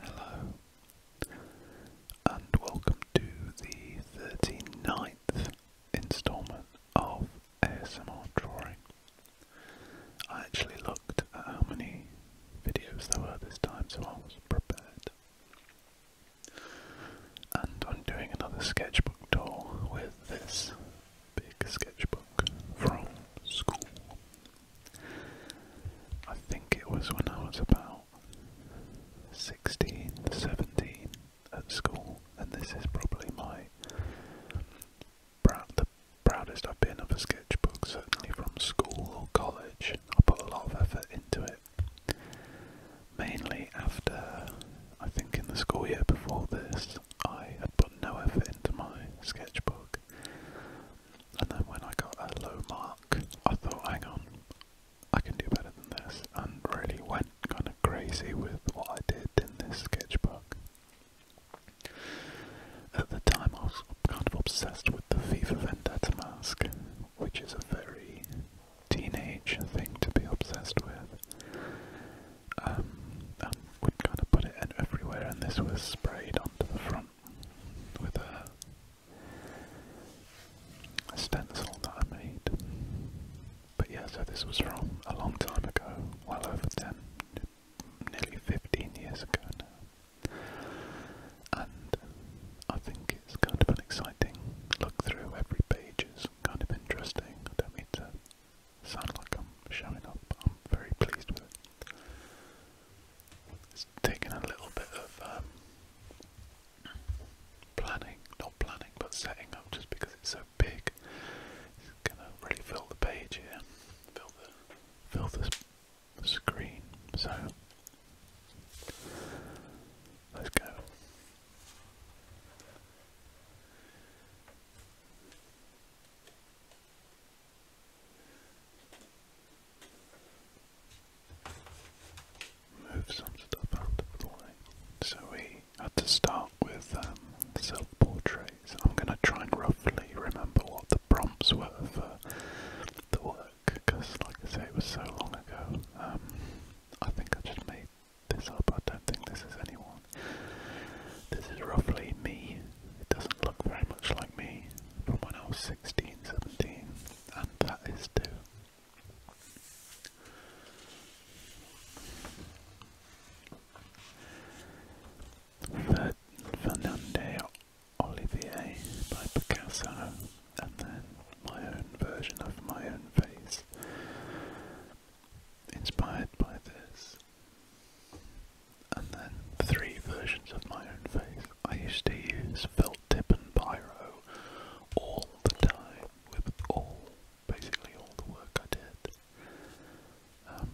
Hello, and welcome to the 39th instalment of ASMR Drawing. I actually looked at how many videos there were this time, so I was prepared. And I'm doing another sketchbook tour with this big sketchbook from school. I think it was when I was about 16, 17 at school, and this is probably my the proudest I've been of a sketchbook, certainly from school or college. I put a lot of effort into it. Mainly after, I think in the school year before this, I had put no effort into my sketchbook and then when I got a low mark, I thought, hang on, I can do better than this, and really went kind of crazy with what I did in this sketchbook. At the time, I was kind of obsessed with the FIFA Vendetta mask, which is a very teenage thing to be obsessed with. Um, we kind of put it in everywhere, and this was sprayed onto the front with a, stencil that I made. But yeah, so this was from a long time ago, well over 10, nearly 15 years ago And I think it's kind of an exciting look through every page, is kind of interesting. I don't mean to sound like I'm showing up, I'm very pleased with it. It's taken a little bit of um, planning, not planning, but setting up just because it's so big. It's gonna really fill the page here, fill the, fill the, screen, so let's go. Move some stuff out the way. So we had to start with um, self portraits. I'm going to try and roughly remember what the prompts were for the work because, like I say, it was so long ago. Um, I think I just made this up. I don't think this is anyone. This is roughly me it doesn't look very much like me from when I was 16, 17, and that is too. Ferd Fernande Olivier by Picasso, and then my own version of my own face, inspired by this. And then three versions of my own face. I used to use felt tip and pyro all the time with all, basically all the work I did. Um,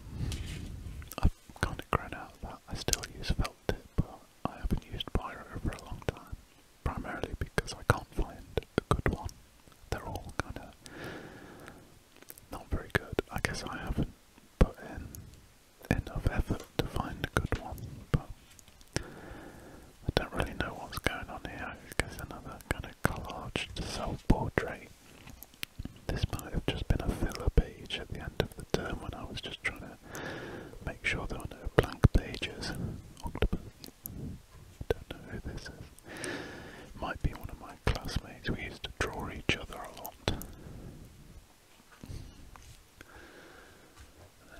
I've kind of grown out that. I still use felt tip, but I haven't used pyro for a long time. Primarily because I can't find a good one. They're all kind of not very good. I guess I haven't put in enough effort to find a good one, but I don't really know what's going on here. It's another kind of collage self-portrait. This might have just been a filler page at the end of the term when I was just trying to make sure there were no blank pages. Octopus. Don't know who this is. Might be one of my classmates. We used to draw each other a lot. And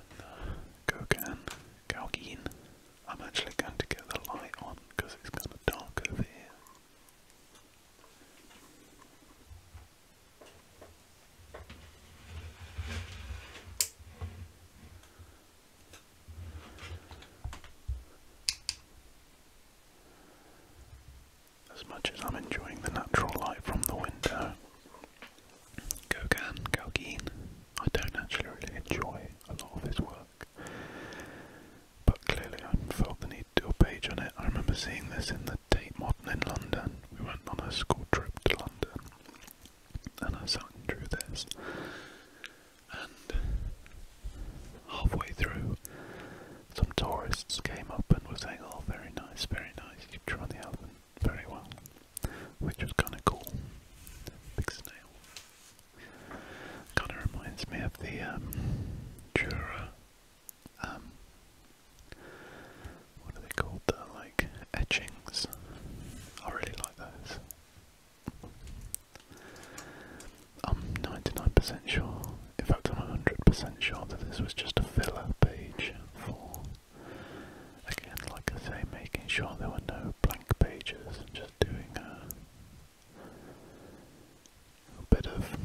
then uh, I'm actually going to get the light on because it's kind of dark over here as much as I'm enjoying the natural light from the window. Gauguin, Gauguin, I don't actually really enjoy a lot of his work, but clearly I felt the need to do a page on it. I remember seeing this in the Tate Modern in London. We went on a school trip to London, and I sat and drew this. And halfway through, some tourists came up and were saying, oh, very nice, very nice, you draw the album very well, which was kind of cool. Kind of reminds me of the um, Jura, um, what are they called, the, like, etchings. I really like those. I'm 99% sure in fact, I'm 100% sure that this was just a filler page for, again, like I say, making sure there were no blank pages and just doing a, bit of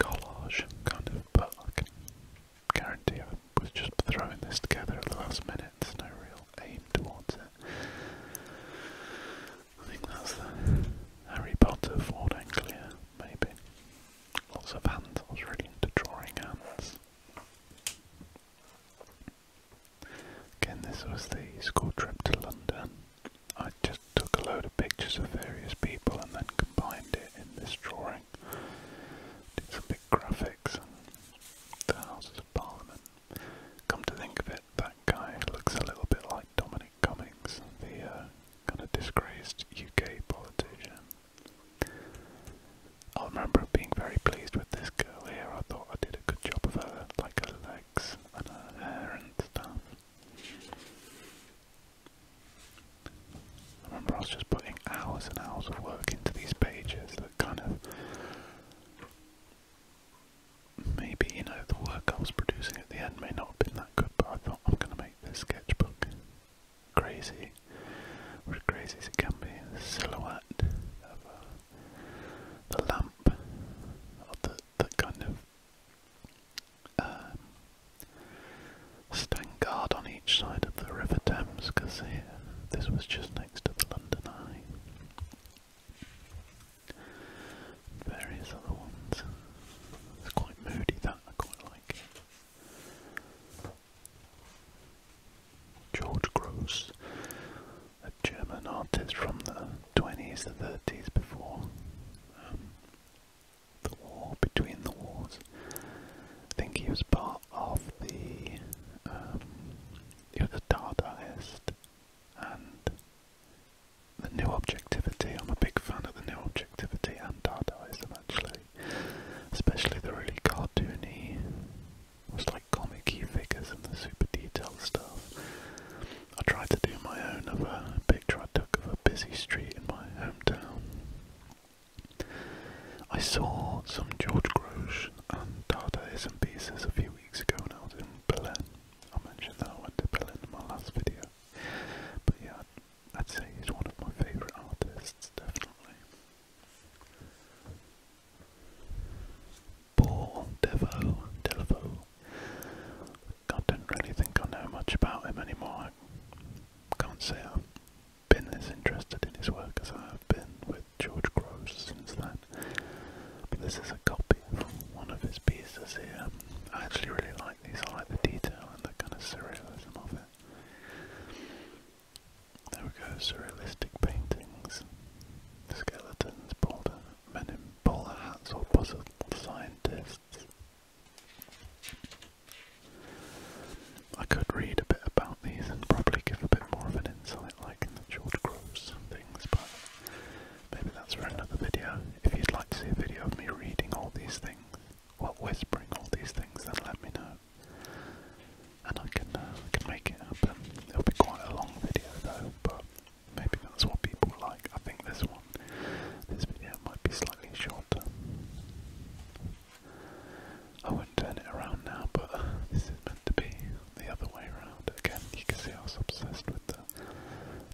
collage, kind of, but I guarantee I was just throwing this together at the last minute, no real aim towards it. I think that's Harry Potter Ford Anglia, maybe. Lots of hands. I was really into drawing hands. Again, this was the school trip to London. I just took a load of pictures of various people and then combined it in this drawing. It's a big graphics and the Houses of Parliament. Come to think of it, that guy looks a little bit like Dominic Frank Cummings, the uh, kind of disgraced UK politician. I remember being very pleased with this girl here. I thought I did a good job of her, like her legs and her hair and stuff. I remember I was just putting hours and hours of work into these pages that kind of maybe, you know, the work I was producing at the end may not have been good, but I thought I'm going to make this sketchbook crazy, as crazy as it can be, silhouette of uh, the lamp, or the, the kind of um, on each side of the River Thames, because this was just next to the London Eye. Various other ones. It's quite moody that I quite like George Gross, a German artist from the 20s, the 30s before um, the war, between the wars. I think he was part of the, um, he was Dadaist and the new objectivity. I'm a big fan of the new objectivity and Dadaism actually, especially the really cartoony, almost like comic-y figures and the super detailed stuff. I tried to do my own of a picture I took of a busy street in my hometown. I saw some George Grosz and Dadaism pieces a few weeks ago when I was in Berlin. I mentioned that I went to Berlin in my last video. But yeah, I'd say he's one of my favourite artists, definitely. Paul Devo, Delevo. I don't really think I know much about him anymore. can't say I've been as interested in his work as I have been with George Gross since then. But this is a copy of one of his pieces here. I actually really like these. are like the detail and the kind of surrealism of it. There we go, surrealistic paintings, skeletons, boulder, men in bowler hats or puzzled scientists. I could read a bit about these and probably give a bit more of an insight like in the George Groves things, but maybe that's for another video. If you'd like to see a video of me reading all these things, what whispering all these things, then let me know, and I can uh, can make it happen. It'll be quite a long video though, but maybe that's what people like. I think this one, this video might be slightly shorter. I would not turn it around now, but this is meant to be the other way around. Again, you can see I was obsessed with the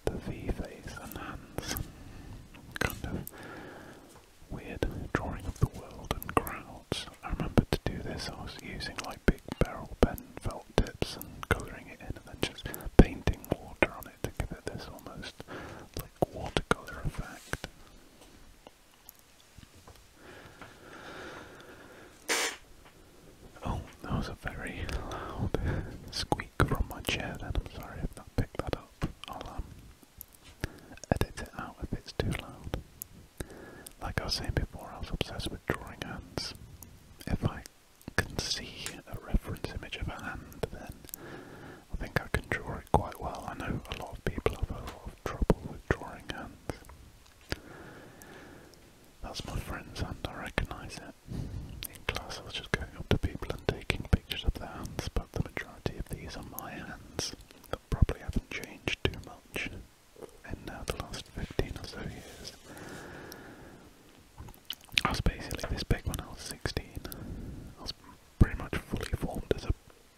the V face and hands kind of weird drawing of the world and crowds. I remember to do this, I was using like big barrel pen felt tips and colouring it in and then just painting water on it to give it this almost like watercolour effect. Oh, that was a very loud squeak from my chair then, I'm sorry if that picked that up i um, edit it out if it's too loud. Like I was saying before, I was obsessed with drawing hands. If I can see a reference image of a hand, then I think I can draw it quite well. I know a lot of people have a lot of trouble with drawing hands. That's my friend's hand, I recognise it. In class I was just going up to people and taking pictures of the hands, but the majority of these are my hands that probably haven't changed too much in uh, the last 15 or so years. I was basically this big when I was 16. I was pretty much fully formed as a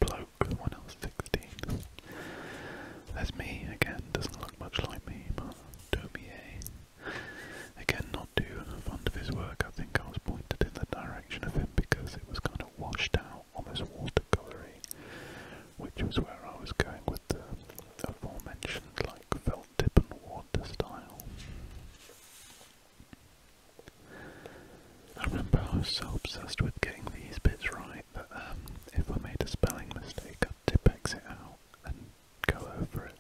bloke when I was 16. There's me, again, doesn't look much like me, but don't be a. Again, not too fond of his work. I think I was pointed in the direction of him because it was kind of washed out, almost watercolory, which was where I was going with the aforementioned like felt tip and water style. I remember I was so obsessed with getting these bits right that um, if I made a spelling mistake, I'd tip it out and go over it,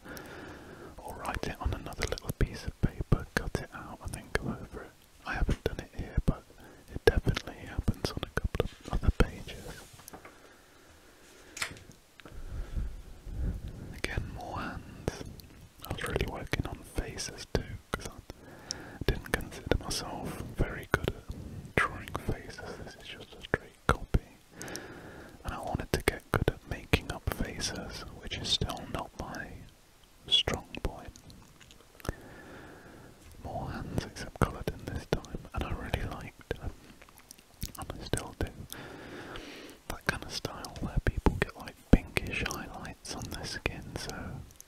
or write it on another little piece paper, cut it out and then go over it. I haven't done it here, but it definitely happens on a couple of other pages. Again, more hands. I was really working on faces too, because I didn't consider myself very good at drawing faces. This is just a straight copy. And I wanted to get good at making up faces, which is still not my strong point. More hands except Culloden this time, and I really liked and I still do. That kind of style where people get like pinkish highlights on their skin, so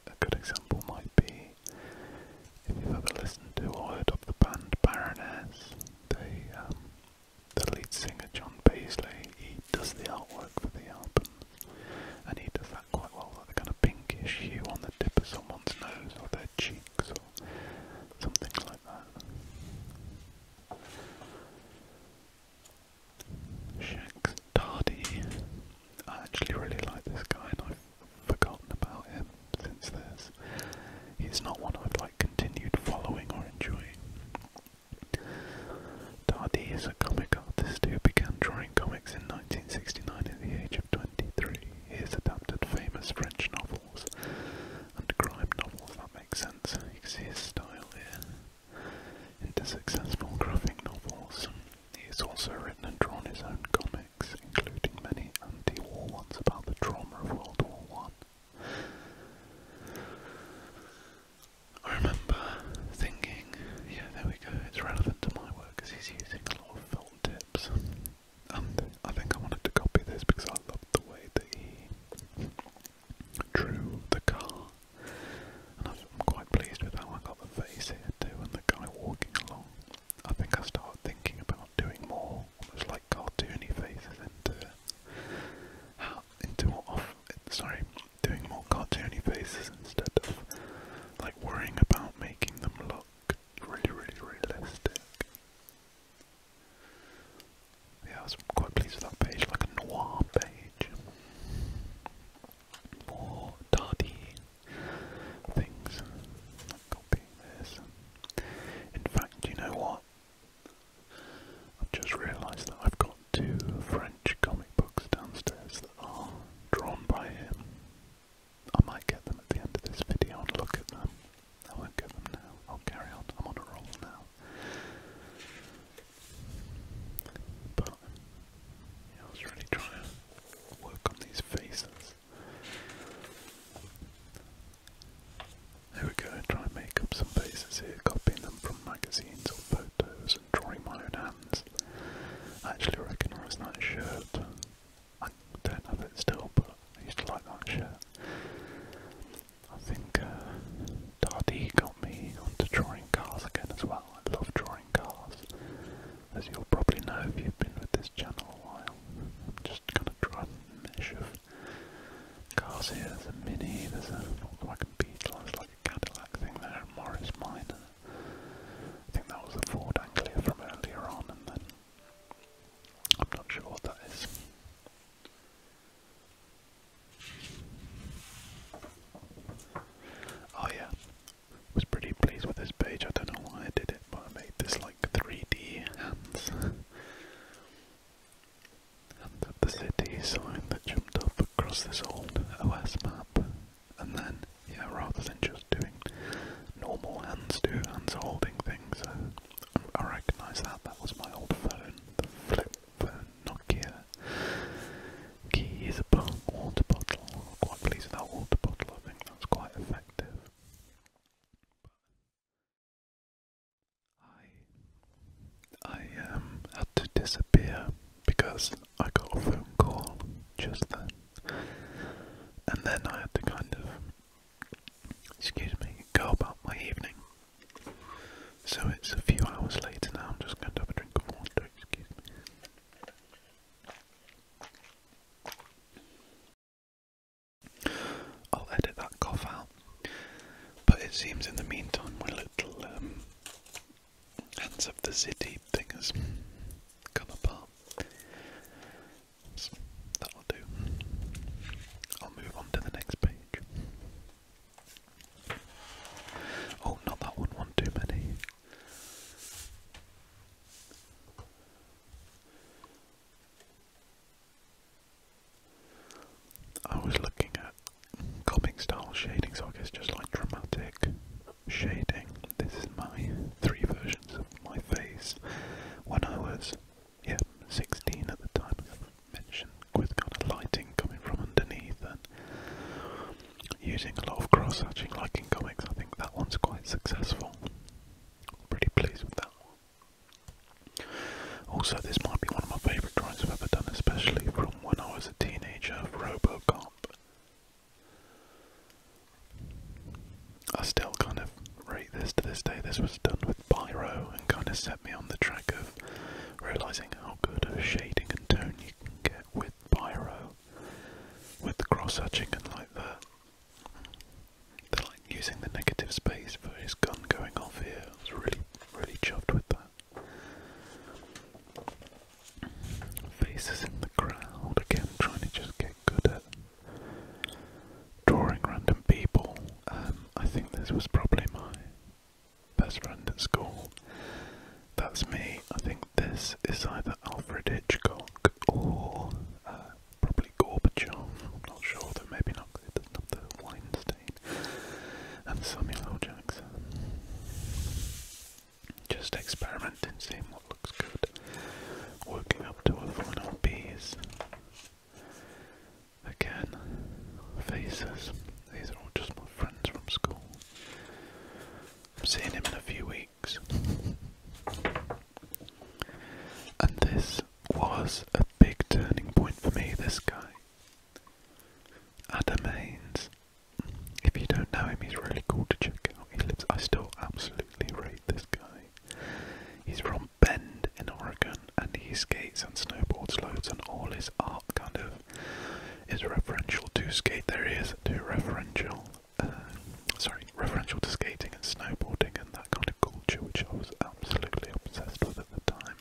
a good example might be if you've ever listened to or heard of the band Baroness, um, the lead singer John Paisley, does the artwork for the album, and he does that quite well, like the kind of pinkish hue on the tip of someone's nose or their cheeks or something like that. Shax Tardy, I actually really like this guy and I've forgotten about him since this. He's not one I've like continued following or enjoying. Dardy is a comic artist who began drawing comics in 1969 at the age of 23. He has adapted famous French novels and crime novels, that makes sense, you can see his style here, into successful graphic novels. He has also written and drawn his own comics, including many anti-war ones about the trauma of World War One. I remember thinking, yeah, there we go, it's relevant to my work because he's using a lot of felt tips. And I think I wanted to copy this because I loved the way that he drew the car. And I'm quite pleased with how I got the face here too and the guy walking along. I think I started thinking about doing more almost like cartoony faces into how into sorry, doing more cartoony faces instead of like worrying about making them look really, really realistic. Yeah, I was quite pleased with that page, like a noir page. More tardy things. Copy this. In fact, you know what? I've just realised that I've got two French comic books downstairs that are drawn by him. I might get them at the end of this video and look at them. I won't get them now. I'll carry on. I'm on a roll now. But I was really trying to work on these faces. There we go, try and make up some faces here, copying them magazines or photos drawing my own hands. I actually recognise that shirt. I don't have it still, but I used to like that shirt. I think uh, got me onto drawing cars again as well. I love drawing cars. As you'll probably know if you've been with this channel a while. I'm just gonna draw a mesh of cars here. There's a Mini, there's a Volkswagen Beetle, there's like Cadillac thing there, Morris Minor. I think that was a Ford Anglia from earlier on, and then I'm not sure what that is. Oh yeah, was pretty pleased with this page. I don't know why I did it, but I made this like 3D hands. Hand the city sign that you up across this old OS map, and then, yeah, rather than just doing normal hands to hands holding things, uh, I, recognise that. That was my old phone, the flip phone, Nokia. Key is a water bottle. I'm quite pleased with that water bottle, I think that's quite effective. I um, had to disappear because I got a phone call just then, and then I had to kind of, excuse me, go about my evening. So it's a few hours later now. I'm just going to have a drink of water. Excuse me. I'll edit that cough out. But it seems in the meantime my little um, Hands of the City thing has come apart. that'll do. I'll move on to the next page. Oh, not that one, one too many. I was looking at copying style shading, so I guess just like dramatic shading. This is my three versions of my face when I was yeah, 16 at the time. I with kind of lighting coming from underneath and using a lot of cross-hatching like in comics. I think that one's quite successful. Pretty pleased with that one. Also, this might be one of my favourite drawings I've ever done, especially from when I was a teenager of Robocop. I still kind of rate this to this day. This was done with Pyro and kind of set me on the track of realising how good of shading and tone you can get with Pyro. With the cross-hatching and like the, the like using the negative space for his gun going off here. I was really, really chuffed with that. Faces in the crowd, again trying to just get good at drawing random people. Um, I think this was probably my best friend at school. That's me. I think this is either Alfred Hitchcock or uh, probably Gorbachev. I'm not sure, maybe not, it doesn't the Weinstein. And Samuel L. Jackson. Just experimenting, seeing what looks good. Working up to a final piece. Again, faces. These are all just my friends from school. I'm seeing him in a few weeks. And this was a big turning point for me, this guy. Adam if you don't know him, he's really cool to check out. He lives. I still absolutely rate this guy. He's from Bend in Oregon, and he skates and snowboards loads, and all his art kind of is referential to skate. There to referential. Uh, sorry, referential to skating and snowboarding and that kind of culture, which I was absolutely obsessed with at the time.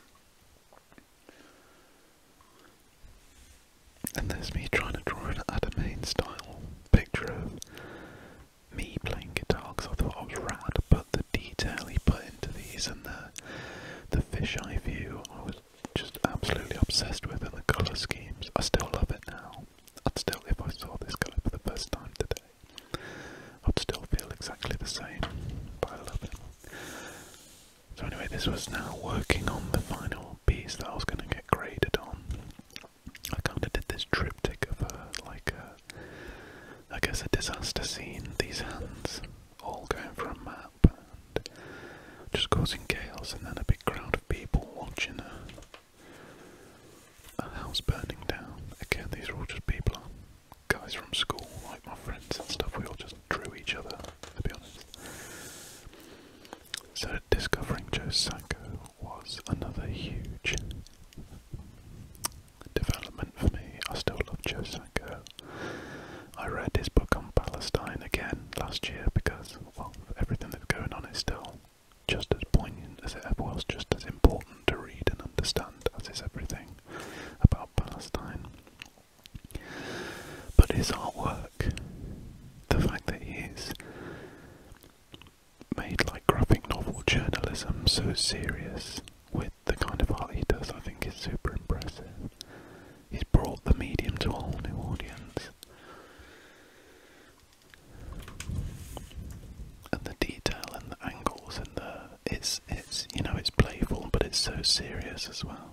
And there's me trying to draw an Adamain style picture of me playing guitar because I thought I was rad, but the detail he put into these and the the fisheye view I was just absolutely obsessed with and the colour schemes. I still love it now. I'd still if I saw this colour for the first time today, I'd still feel exactly the same. But I love it. So anyway, this was now working on the final piece that I was going to get graded on. I kind of did this triptych of like a, I guess a disaster scene. These hands all going for a map and just causing chaos, and then a big crowd of people watching a, house burning down. Again, these are all just people, guys from school, like my friends and stuff. We all just outdrew each other, to be honest. So discovering Joe Sacco was another huge development for me. I still love Joe Sacco. I read his book on Palestine again last year because, well, everything that's going on is still just as poignant as it ever was, just as important to read and understand as is everything about Palestine. But his artwork, the fact that he's made like graphic novel journalism so serious with the kind of art he does, I think is super impressive. He's brought the medium to a whole new audience. And the detail and the angles and the it's it's you know it's playful but it's so serious as well.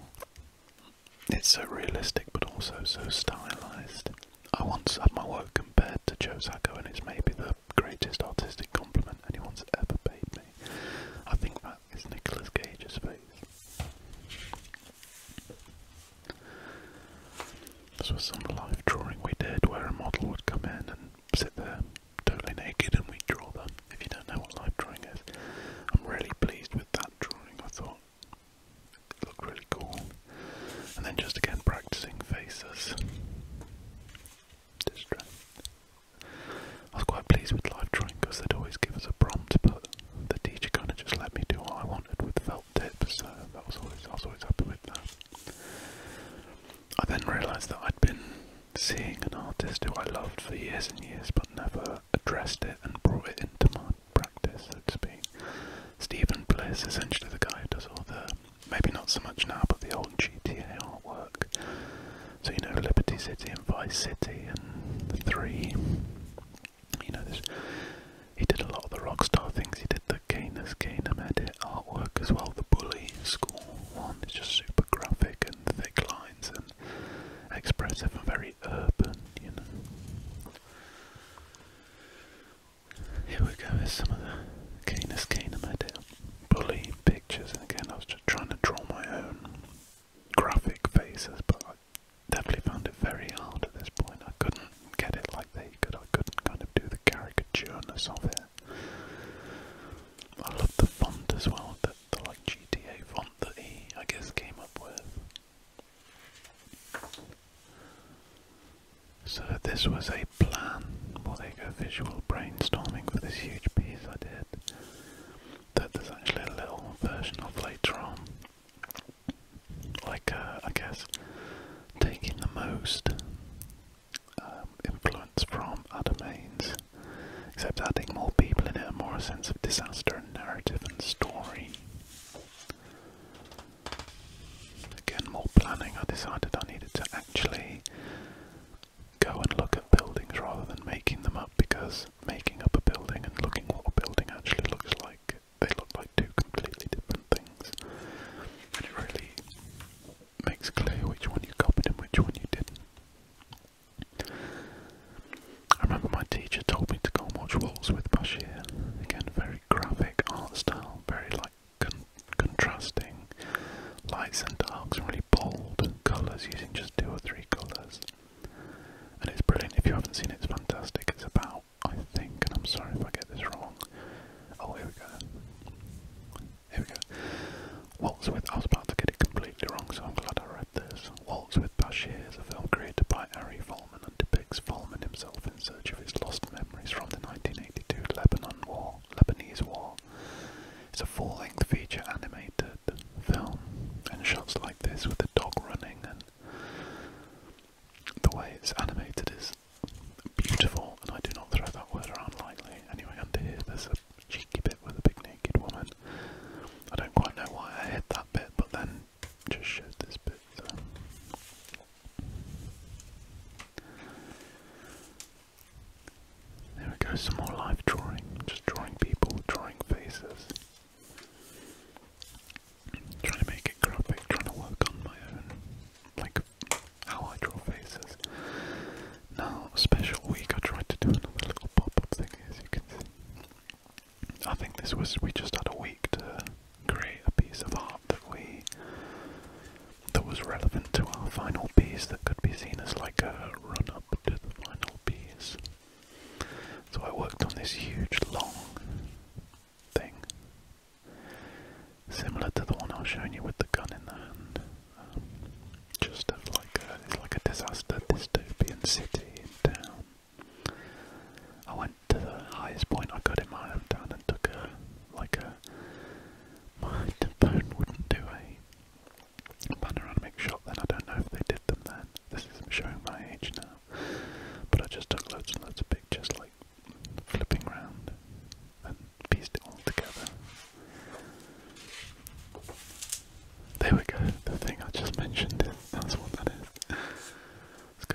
It's so realistic but also so stylized. I once had my work compared to Josako and it's maybe the greatest artistic compliment anyone's ever paid me. I think that is Nicholas Cage's face. This was some live drawing we did where a model would come in and sit there totally naked and we'd draw them. If you don't know what live drawing is, I'm really pleased with that drawing. I thought look really cool. And then just again practicing faces. Distract. I was quite pleased with live drawing because they'd always give us a prompt, but the teacher kind of just let me do what I wanted with felt tips, so that was always I was always happy with that. I then realised that I'd been seeing an artist who I loved for years and years, but never addressed it and brought it into my practice, so to speak. Stephen Bliss, essentially the guy who does all the, maybe not so much now, but the old GTA artwork. So, you know, Liberty City and Vice City and the three. You know, this, he did a lot of the Rockstar things. He did the Canis Canem edit artwork as well. The Bully School one is just super graphic and thick lines and expressive and very urban, you know. Here we go, here's some of the Canis Canum Edit bully pictures, and again, I was just trying to draw my own graphic faces, but I definitely found it very hard at this point. I couldn't get it like they could, I couldn't kind of do the caricatureness of it. I love the font as well, That the like GTA font that he, I guess, came up with. So this was a plan, more like a visual brainstorming for this huge piece I did that there's actually a little version of later on. Like, uh, I guess, taking the most um, influence from other mains, except adding more people in it more a sense of disaster narrative and story. Again, more planning. I decided I needed to actually go and look at buildings rather than making them up because making up a building and looking what a building actually looks like, they look like two completely different things. And it really makes clear which one you copied and which one you didn't. I remember my teacher told me to go and watch Waltz with Bashir. Again, very graphic art style, very like contrasting lights and darks, really bold colours using just two or three colours. And it's brilliant. If you haven't seen it, it's fantastic. It's about, I think, and I'm sorry if I get this wrong. Oh, here we go. Here we go. Waltz with. I was about to get it completely wrong, so I'm glad I read this. Waltz with with Bashir is a film created by Ari Folman and depicts Folman himself in search of his lost memories from the 1982 Lebanon War, Lebanese War. It's a full-length feature animated film, and shots like this with the dog running and the way it's animated is beautiful, and I do not throw that word around lightly. Anyway, under here there's a cheeky bit with a big naked woman. I don't quite know why I hit that bit, but then just show this bit. There we go, some more live drawing, just drawing people, drawing faces. Trying to make it graphic, trying to work on my own, like how I draw faces. Now, special week, I tried to do another little pop up thing, as you can see. I think this was we just had a week to create a piece of art that we that was relevant to our final piece that could be seen as like a run up to the final piece. So I worked on this huge long thing. Similar to the one I was showing you with the gun in the hand. Um, just like a, it's like a disaster dystopian city in town. I went to the highest point I could in my hometown and took a like a my phone wouldn't do a panoramic shot then I don't know if they did them then. This is showing my age now. But I just took loads and loads of pictures like flipping around, and pieced it all together. There we go, the thing I just mentioned is that's what that is. It's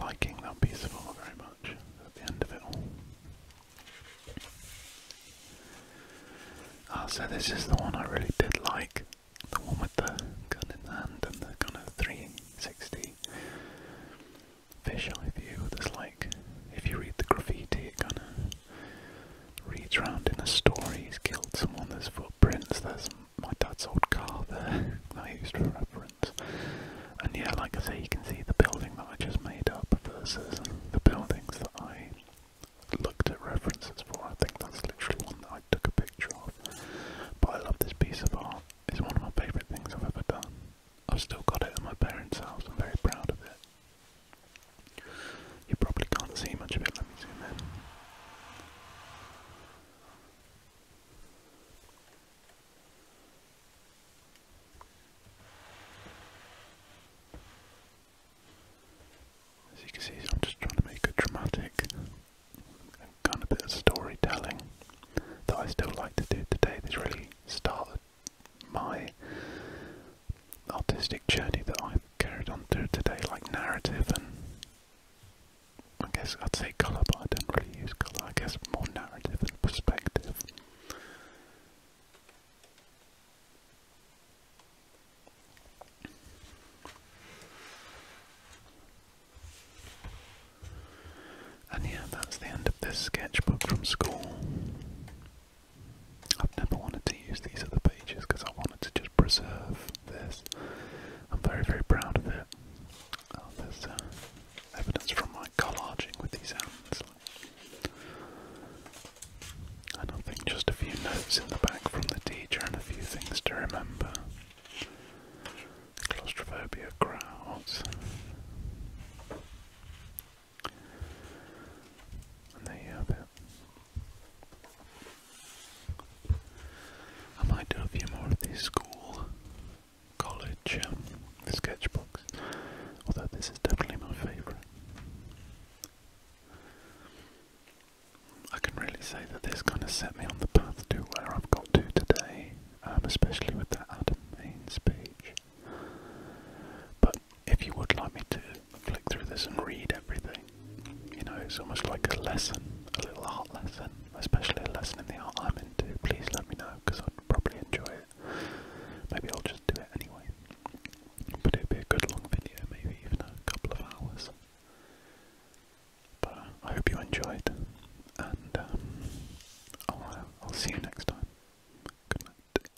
liking that piece of art very much at the end of it all. Ah, so this is the one I really did like. The one with the gun in the hand and the kind of 360 fisheye view. There's like, if you read the graffiti, it kind of reads round in a story. He's killed someone, there's footprints, there's my dad's old car there that I used for reference difference. And yeah, like I say, you can see the building that I just made up versus the buildings that I looked at references for. I think that's literally one that I took a picture of. But I love this piece of art. It's one of my favourite things I've ever done. I've still got it at my parents' house. I'm very proud of it. You probably can't see much of it. Let me zoom in. As you can see, I'm just trying to make a dramatic kind of bit of storytelling that I still like to do today. This really started my artistic journey that I've carried on through today, like narrative and I guess I'd say colour, but I don't really use colour. I guess more narrative perspective. And yeah, that's the end of this sketchbook from school. I've never wanted to use these other pages because I wanted to just preserve this. I'm very, very proud of it. Oh, evidence from my collaging with these hands. And I think just a few notes in the back from the teacher and a few things to remember. Claustrophobia crowds. And there you have it. I might do a few more of these school college um, although this is definitely my favourite. I can really say that this kind of set me on the path to where I've got to today, um, especially with that Adam Maines page. But if you would like me to flick through this and read everything, you know, it's almost like a lesson, a little art lesson, especially a lesson in the art I'm into, please let me know because I'd probably enjoy it. Maybe I'll just do it anyway. But it'd be a good long video, maybe even a couple of hours. But uh, I hope you enjoyed, and um, I'll, uh, I'll see you next time. Good night.